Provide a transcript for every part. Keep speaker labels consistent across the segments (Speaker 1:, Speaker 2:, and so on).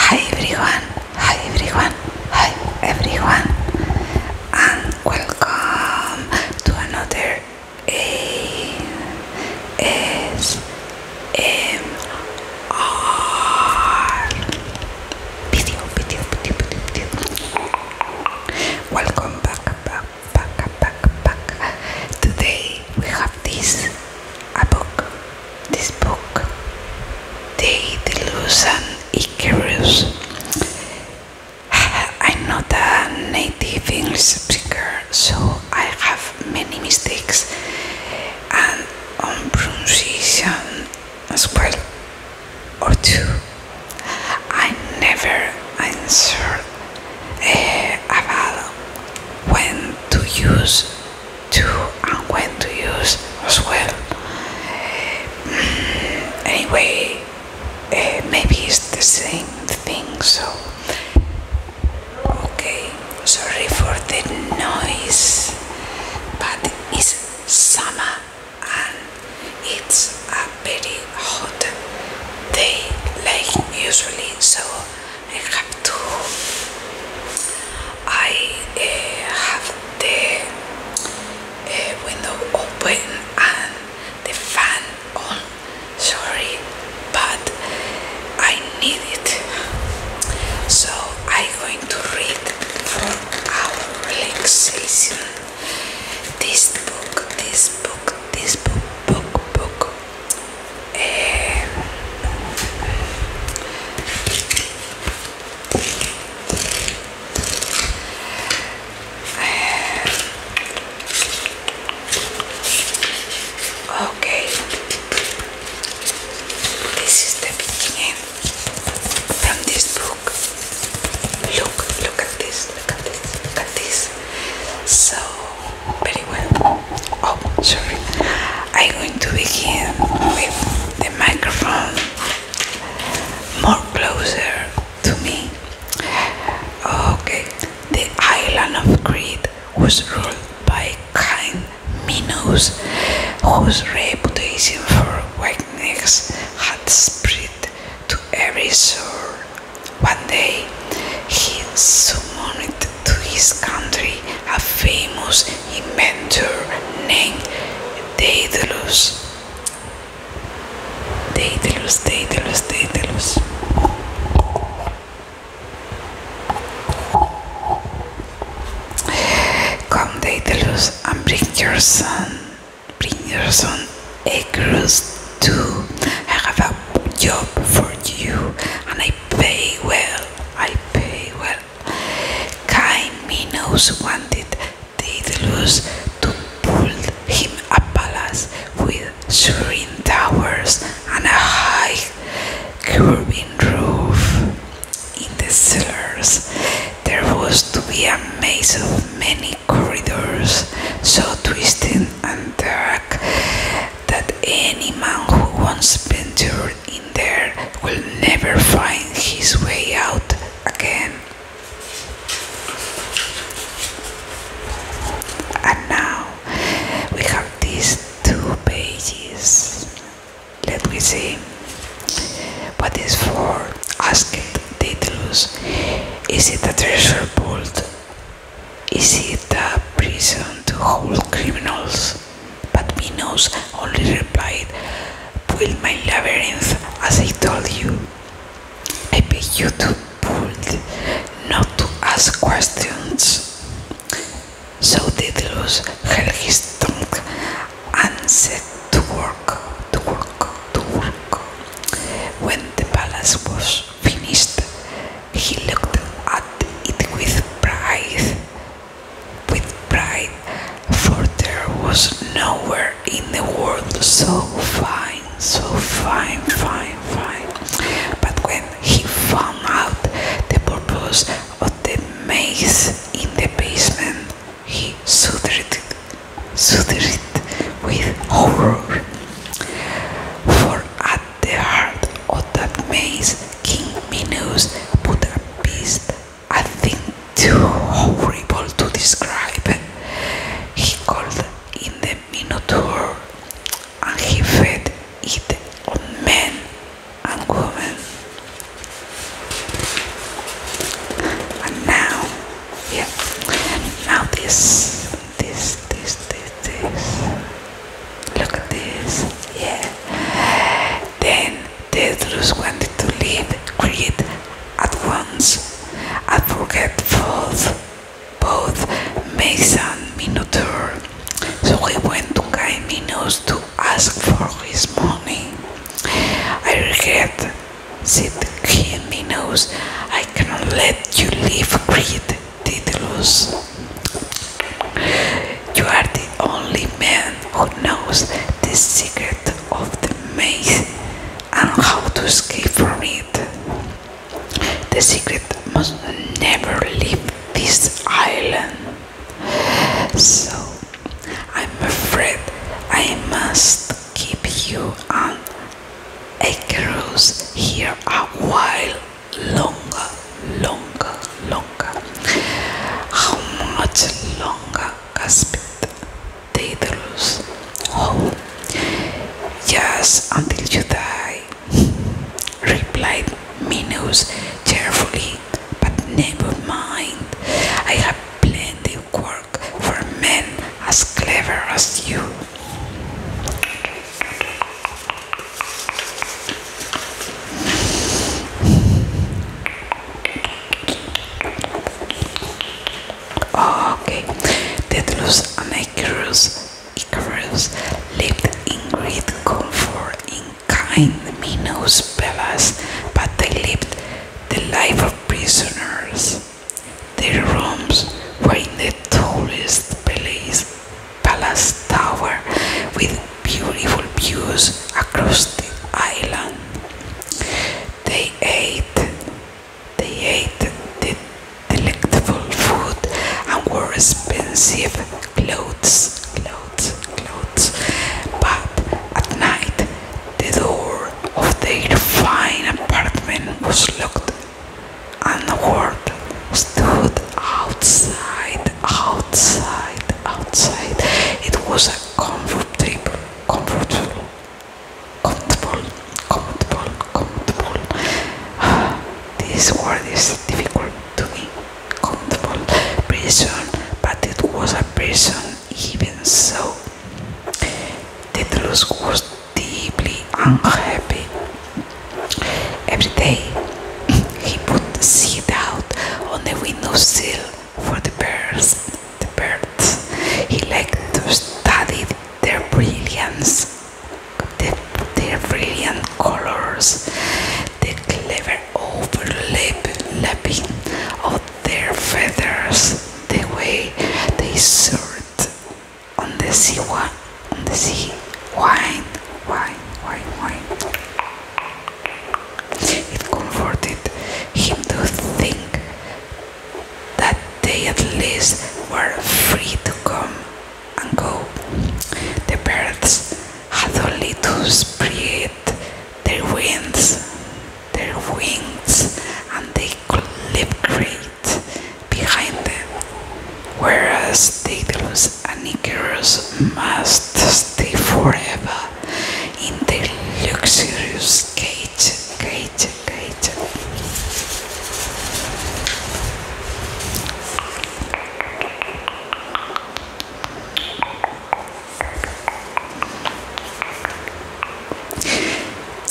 Speaker 1: Hi everyone, hi everyone, hi everyone, and welcome to another ASMR video, video, video, video, video. Welcome back, back, Today we have this a book. This book, The Delusion Icarus. I'm not a native English speaker, so I have many mistakes and on pronunciation as well, or two. I never answer. Eh, about when to use to and when to use as well. Mm, anyway, eh, maybe it's the same thing, so okay. Sorry for the noise, but it's summer and it's a very hot day like usually so I have to I uh, have the uh, window open and the fan on sorry but I need it so I'm going to read for our relaxation this book this book this book book book Eh, okay this is the beginning from this book look look at this look at this, look at this. So, very well. Oh, sorry. I'm going to begin with the microphone more closer to me. Okay, the island of Crete was ruled by kind Minos, whose reputation for whiteness had spread to every shore one day he summoned to his country a famous inventor named Daedalus. Daedalus, Daedalus, Daedalus. Come, Daedalus, and bring your son, bring your son acres too. I have a job for you and I pay well. I pay well. Kind Minos wanted Daedalus to build him a palace with serene towers and a high curving roof. In the cellars there was to be a maze of many corridors, so twisting and dark that any man who once ventured in there will never find his way out again. And now we have these two pages. Let me see. What is for? asked Daedalus. Is it a treasure vault? Is it a prison to hold criminals? But Minos only replied, Build my labyrinth as I told you. I beg you to build, not to ask questions. So Daedalus held his tongue and set to work, to work, to work. When the palace was finished, he looked at it with pride, with pride, for there was nowhere in the world so fine, so fine, fine, fine. But when he found out the purpose of the maze in the basement, he shuddered, shuddered with horror. For at the heart of that maze, King Minos put a beast, a thing too horrible to describe. He called in the Minotaur, and he fed it on men and women. And now, yeah, now this this, this, this, this. Look at this. Yeah. Then Tedros wanted to leave Crete at once. I forget both, both Mason and Minotaur. So he went to Guy to ask for his money. I regret, said Guy Minos. I cannot let you leave Crete. Titulus. You are the only man who knows the secret of the maze and how to escape from it. The secret must never leave this island. So I'm afraid I must keep you on a cruise here a while longer, longer, longer. How much longer gasped Daedalus. Oh, just until you die, replied Minos cheerfully. But never mind, I have plenty of work for men as clever as you. Oh, okay. Tedros and Icarus, Icarus lived in great comfort in kind Minos villas, but they lived the life of prisoners. Their rooms were in the tallest palace palace tower with beautiful views across the island. They ate, they ate the delectable food and wore expensive clothes, clothes, clothes. But at night, the door of their fine apartment was locked and the word stood outside, outside, outside. It was a comfortable, comfortable, comfortable, comfortable, comfortable. This word is difficult to me. Comfortable prison, but it was a prison even so. the Tedros was deeply unhappy Every day he put the seed out on the window sill for the birds. The birds. He liked to study their brilliance, their brilliant colors, the clever overlapping of their feathers, the way they soared on the sea one on the sea wine wine wine wine it comforted him to think that they at least were free to come and go the birds had only to spread their wings their wings and they could live great behind them, whereas Daedalus and Icarus must stay forever in their luxurious cage, cage, cage.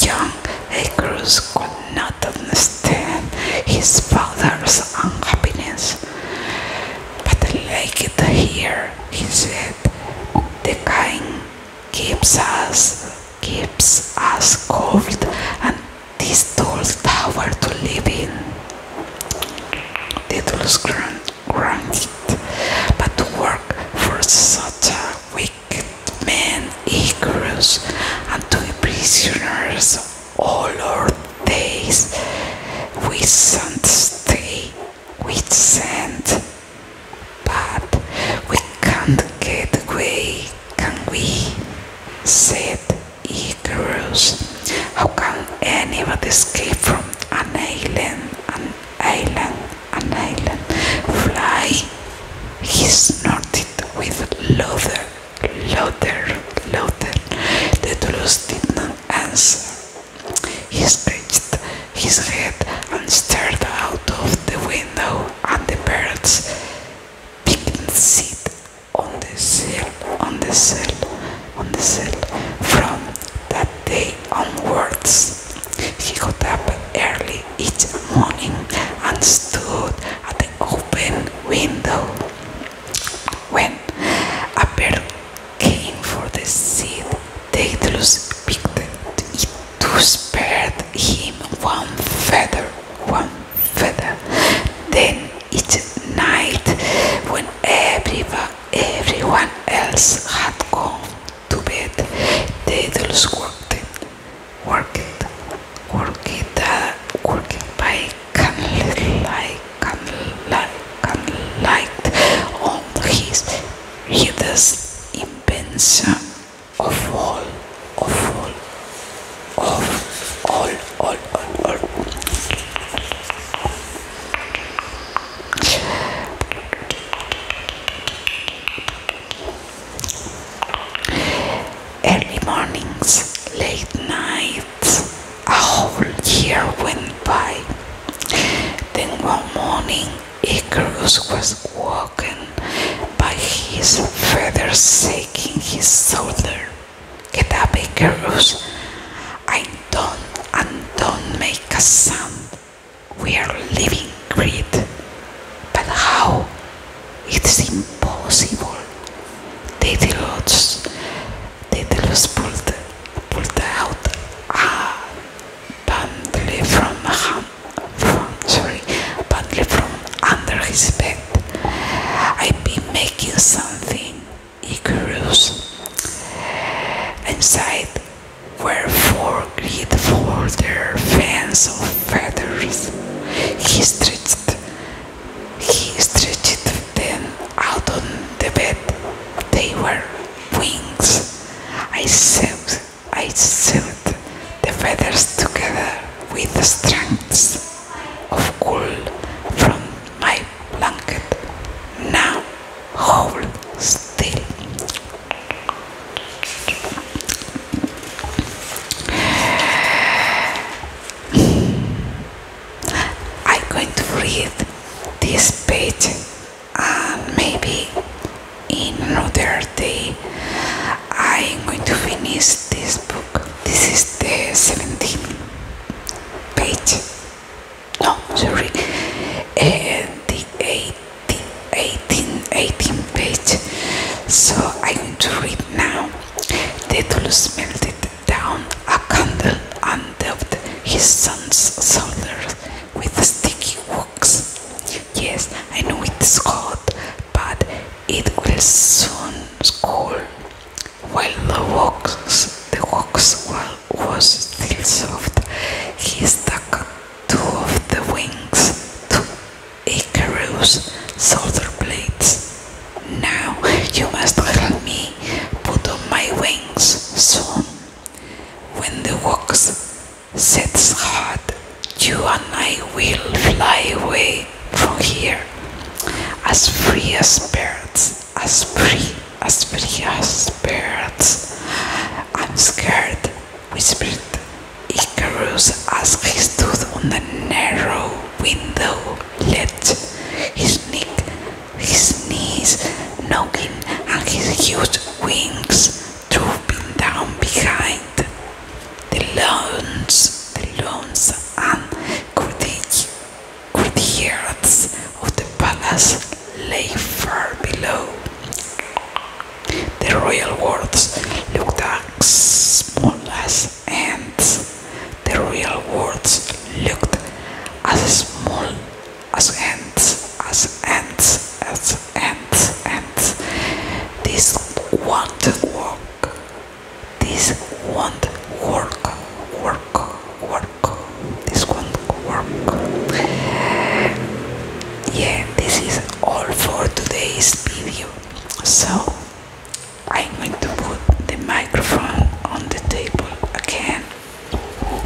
Speaker 1: Young Icarus not understand his father's unhappiness. But I like it here, he said, the king keeps us, keeps us cold and this tall tower to living. in. Titles grant, granted, but to work for such a wicked man, equals and to be prisoners all our days. We should stay with sand, but we can't get away, can we? said Icarus. How can anybody escape from an island, an island, an island? Fly? He snorted with laughter. Louder, louder. The Toulouse did not answer. He scratched his head and stared out of the window at the birds picking seed on the sill, on the sill, on the sill. From that day onwards, he got up early each morning and stood at the open window. When a bird came for the seed, Daedalus picked it to spare him one feather, one feather. Then each night, when everyone, everyone else had gone to bed, Daedalus worked, worked, Gurgita, Gurgibai Kanlai, Kanlai, Kanlai on oh, his readers' invention of all, of all, of all, all, all, all. Early mornings, late nights a whole year went by. Then one morning Icarus was woken by his feathers shaking his shoulder. Get up, Icarus. I don't and don't make a sound. We are living great, But how? It's impossible. Δίδυλος, Δίδυλος pulled, pulled out a ah, bundle from, from, from under his bed. I've been making something Icarus. Inside were four grid folder fans of feathers. He stretched he stretched them out on the bed. They were wings. I sewed, I sewed the feathers together with strands of wool from my blanket. Now hold still. I'm going to read this page and maybe in another day I'm going to finish this book. This is the 17th page. No, sorry. and eh, the 18, 18, 18 page. So I'm going to read now. The Tulus melted down a candle and dabbed his son's shoulder with the sticky wax. Yes, I know it's hot, but it will soon cool. While the wax, the wax was still soft, he stuck two of the wings to Icarus' shoulder blades. Now you must help me put on my wings soon. When the wax sets hard, you and I will fly away from here, as free as birds, as free, as free as birds. I'm scared, whispered Icarus as he stood on the narrow window ledge, his neck, his knees knocking, and his huge wings drooping down behind. The lawns, the lawns and courtiers of the palace lay far below. The royal wards looked as small as and the real words looked as small as ants, as ants, as ants, ants. This won't work. This won't work, work, work. This won't work. Yeah, this is all for today's video. So, I'm going to put the microphone on the table again. Uh,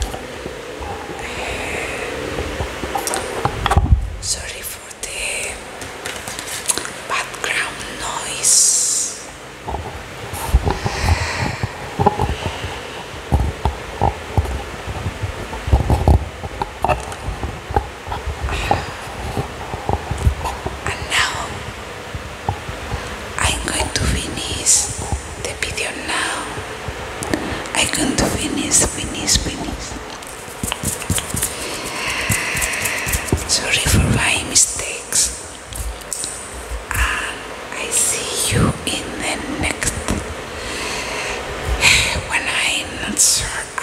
Speaker 1: sorry for the background noise. And now I'm going to finish the video now. I'm going to finish, finish, finish. Sorry for my mistakes. I see you in the next when I'm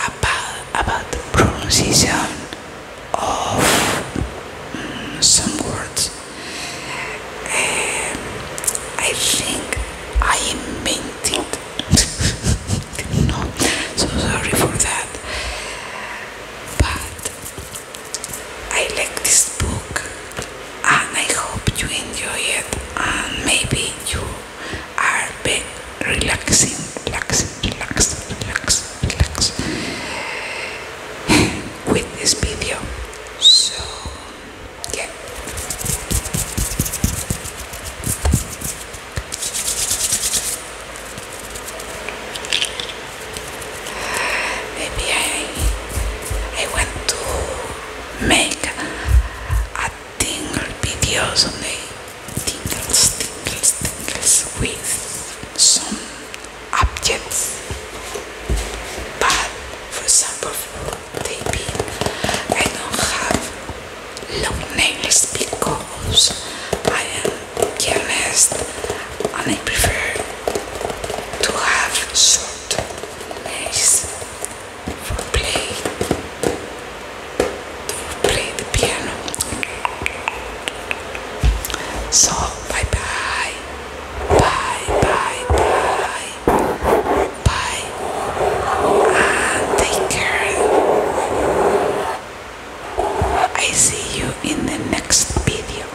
Speaker 1: about about pronunciation of mm, some words. Um, I think I invented. no, so sorry for that. But I like this book, and I hope you enjoy it, and maybe you are relaxing, relaxing, relaxing, relaxing with this video. So, yeah. Maybe I I want to make a tingle videos on the tingles, tingles, tingles with some objects but for example taping I don't have long nails because I am careless and I prefer to have short nails for play to play the piano so bye bye Bye, bye, bye. Bye. And take care. I see you in the next video.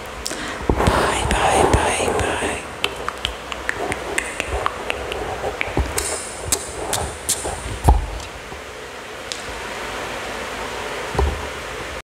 Speaker 1: Bye, bye, bye, bye.